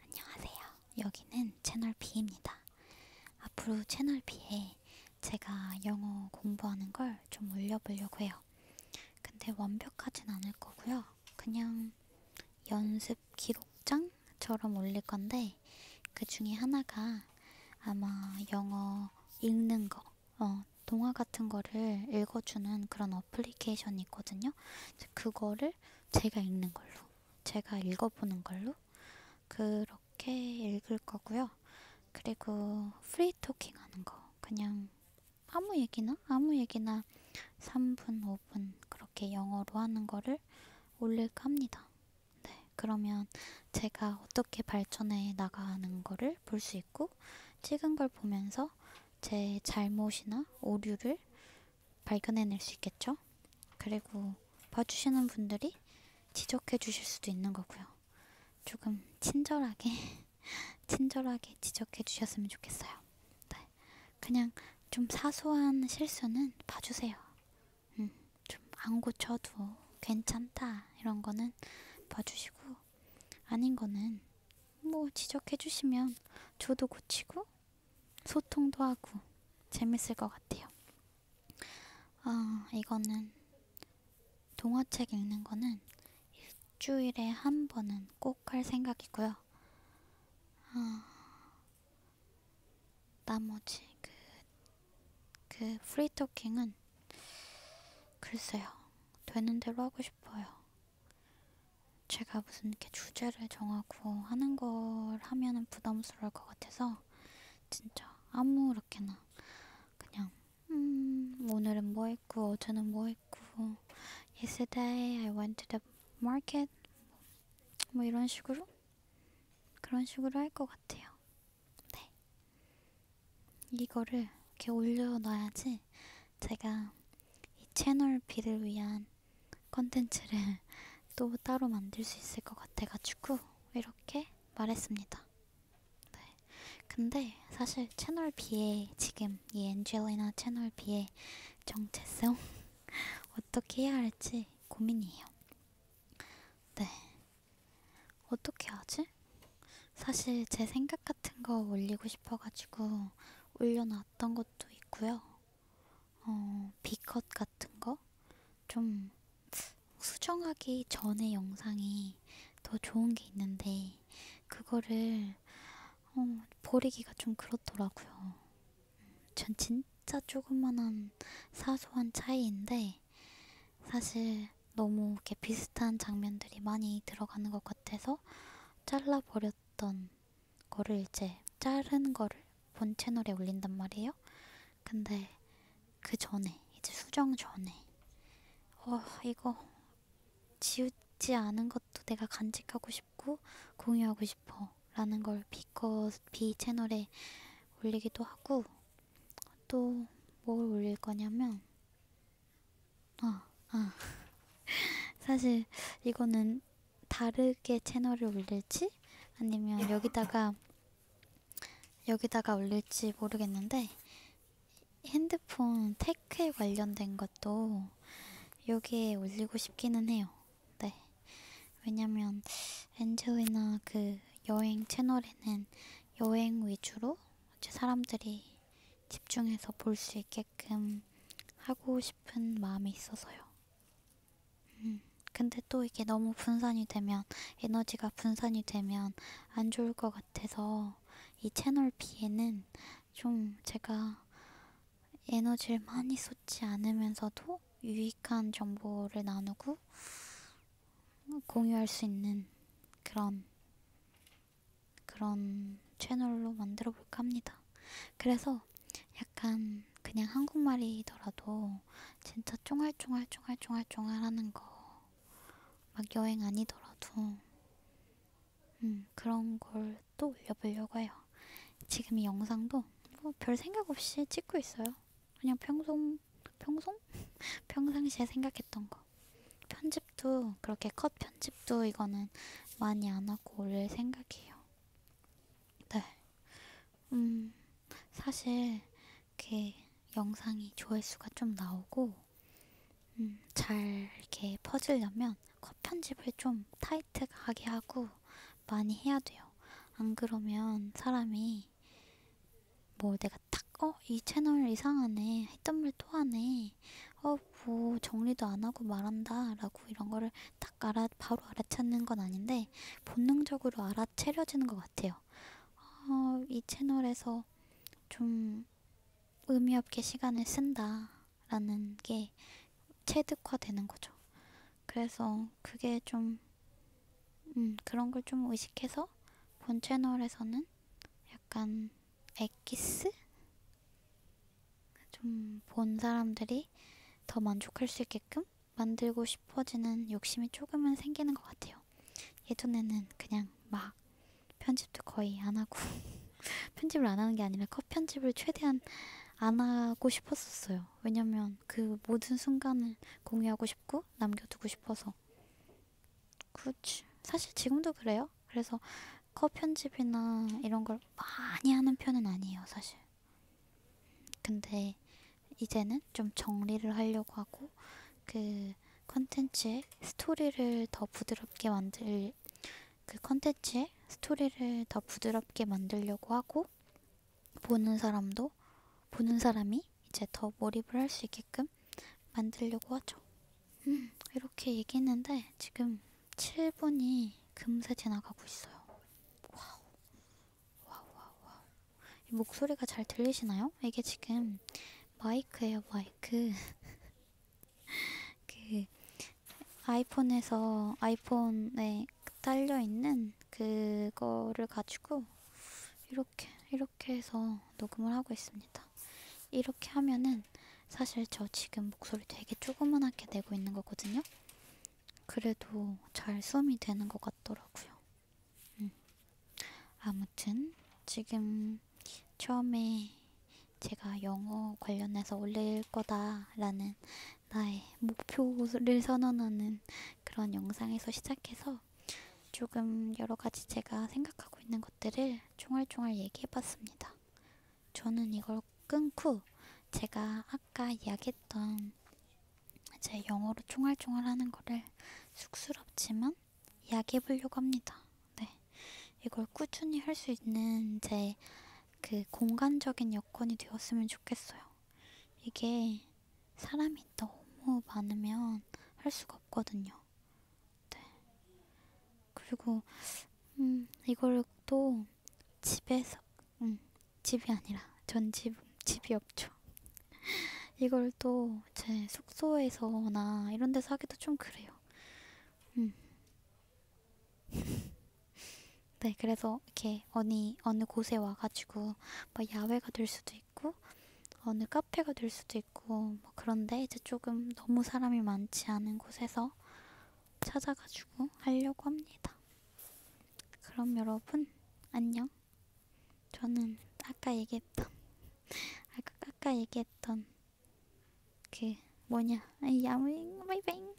안녕하세요. 여기는 채널 B입니다. 앞으로 채널 B에 제가 영어 공부하는 걸 좀 올려보려고 해요. 근데 완벽하진 않을 거고요. 그냥 연습 기록장처럼 올릴 건데 그 중에 하나가 아마 영어 읽는 거, 어, 동화 같은 거를 읽어주는 그런 어플리케이션이 있거든요. 그거를 책을 제가 읽는 걸로, 제가 읽어보는 걸로 그렇게 읽을 거고요. 그리고 프리 토킹 하는 거, 그냥 아무 얘기나 아무 얘기나 3분, 5분 그렇게 영어로 하는 거를 올릴까 합니다. 네, 그러면 제가 어떻게 발전해 나가는 거를 볼 수 있고 찍은 걸 보면서 제 잘못이나 오류를 발견해낼 수 있겠죠? 그리고 봐주시는 분들이 지적해 주실 수도 있는 거고요. 조금 친절하게, 친절하게 지적해 주셨으면 좋겠어요. 네. 그냥 좀 사소한 실수는 봐주세요. 음, 좀 안 고쳐도 괜찮다. 이런 거는 봐주시고, 아닌 거는 뭐 지적해주시면 저도 고치고 소통도 하고 재밌을 것 같아요. 아, 이거는 동화책 읽는 거는 일주일에 한 번은 꼭 할 생각이고요. 아, 나머지 그, 그 프리토킹은 글쎄요. 되는 대로 하고 싶어요. 제가 무슨 이렇게 주제를 정하고 하는 걸 하면은 부담스러울 것 같아서 진짜 아무렇게나 그냥 음, 오늘은 뭐 했고 어제는 뭐 했고 yesterday I went to the market 뭐 이런 식으로 그런 식으로 할 것 같아요. 네. 이거를 이렇게 올려놔야지 제가 이 채널비를 위한 컨텐츠를 또 따로 만들 수 있을 것 같아가지고 이렇게 말했습니다. 네. 근데 사실 채널비에 지금 이 엔젤리나 채널비의 정체성 어떻게 해야 할지 고민이에요. 네. 어떻게 하지? 사실 제 생각 같은 거 올리고 싶어가지고 올려놨던 것도 있고요. 어, 비컷 같은 거? 좀 수정하기 전에 영상이 더 좋은 게 있는데, 그거를 어, 버리기가 좀 그렇더라고요. 전 진짜 조그만한 사소한 차이인데, 사실 너무 이렇게 비슷한 장면들이 많이 들어가는 것 같아서 잘라버렸던 거를 이제 자른 거를 본 채널에 올린단 말이에요. 근데 그 전에 이제 수정 전에 어 이거 지우지 않은 것도 내가 간직하고 싶고 공유하고 싶어 라는 걸 비커 비 채널에 올리기도 하고 또 뭘 올릴 거냐면 아, 아. 사실 이거는 다르게 채널을 올릴지 아니면 여기다가 여기다가 올릴지 모르겠는데 핸드폰 테크에 관련된 것도 여기에 올리고 싶기는 해요. 네. 왜냐면 엔조이나 그 여행 채널에는 여행 위주로 사람들이 집중해서 볼 수 있게끔 하고 싶은 마음이 있어서요. 음, 근데 또 이게 너무 분산이 되면, 에너지가 분산이 되면 안 좋을 것 같아서 이 채널 B에는 좀 제가 에너지를 많이 쏟지 않으면서도 유익한 정보를 나누고 공유할 수 있는 그런 그런 채널로 만들어 볼까 합니다. 그래서 약간 그냥 한국말이더라도 진짜 쫑알쫑알 쫑알쫑알 쫑알 쫑알 하는 거 막 여행 아니더라도 음, 그런 걸 또 올려보려고 해요. 지금 이 영상도 뭐별 생각 없이 찍고 있어요. 그냥 평소 평, 평송? 평상시에 생각했던 거. 편집도, 그렇게 컷 편집도 이거는 많이 안 하고 올 생각이에요. 네. 음, 사실, 이렇게 영상이 조회수가 좀 나오고, 음, 잘 이렇게 퍼지려면 컷 편집을 좀 타이트하게 하고 많이 해야 돼요. 안 그러면 사람이 뭐 내가 내가 딱어 이 채널 이상하네 했던 말또 하네 어뭐 정리도 안 하고 말한다라고 이런 거를 딱 알아 바로 알아차는 건 아닌데 본능적으로 알아채려지는 것 같아요. 어, 이 채널에서 좀 의미 없게 시간을 쓴다라는 게 체득화되는 거죠. 그래서 그게 좀 음, 그런 걸 좀 의식해서 본 채널에서는 약간 액기스? 좀 본 사람들이 더 만족할 수 있게끔 만들고 싶어지는 욕심이 조금은 생기는 것 같아요. 예전에는 그냥 막 편집도 거의 안 하고 편집을 안 하는 게 아니라 컷 편집을 최대한 안 하고 싶었었어요. 왜냐면 그 모든 순간을 공유하고 싶고 남겨두고 싶어서 그치. 사실 지금도 그래요. 그래서 컷 편집이나 이런 걸 많이 하는 편은 아니에요, 사실. 근데 이제는 좀 정리를 하려고 하고 그 컨텐츠의 스토리를 더 부드럽게 만들 그 컨텐츠의 스토리를 더 부드럽게 만들려고 하고 보는 사람도 보는 사람이 사람이 이제 더 몰입을 할 수 있게끔 만들려고 하죠. 음, 이렇게 얘기했는데 지금 7분이 금세 지나가고 있어요. 와우. 와우, 와우, 와우. 이 목소리가 잘 들리시나요? 이게 지금 마이크예요, 마이크. 그 아이폰에서 아이폰에 딸려 있는 있는 그거를 가지고 이렇게 이렇게 해서 녹음을 하고 있습니다. 이렇게 하면은 사실 저 지금 목소리 되게 조그만하게 내고 있는 거거든요. 그래도 잘 숨이 되는 것 같더라고요. 음. 아무튼 지금 처음에 제가 영어 관련해서 올릴 거다라는 나의 목표를 선언하는 그런 영상에서 시작해서 조금 여러 가지 제가 생각하고 있는 것들을 총알총알 얘기해봤습니다. 저는 이걸 끊고 제가 아까 이야기했던 제 영어로 총알총알 하는 거를 쑥스럽지만 이야기해보려고 합니다. 네. 이걸 꾸준히 할 수 있는 제 그 공간적인 여건이 되었으면 좋겠어요. 이게 사람이 너무 많으면 할 수가 없거든요. 네. 그리고 음, 이걸 또 집에서 음, 집이 아니라 전 집, 집이 없죠. 이걸 또 제 숙소에서나 이런 데서 하기도 좀 그래요. 음. 네, 그래서 이렇게 어느, 어느 곳에 와가지고 뭐 야외가 될 수도 있고 어느 카페가 될 수도 있고 뭐 그런데 이제 조금 너무 사람이 많지 않은 곳에서 찾아가지고 하려고 합니다. 그럼 여러분 안녕. 저는 아까 얘기했던 아까 아까 얘기했던 그 뭐냐 야무잉 마이뱅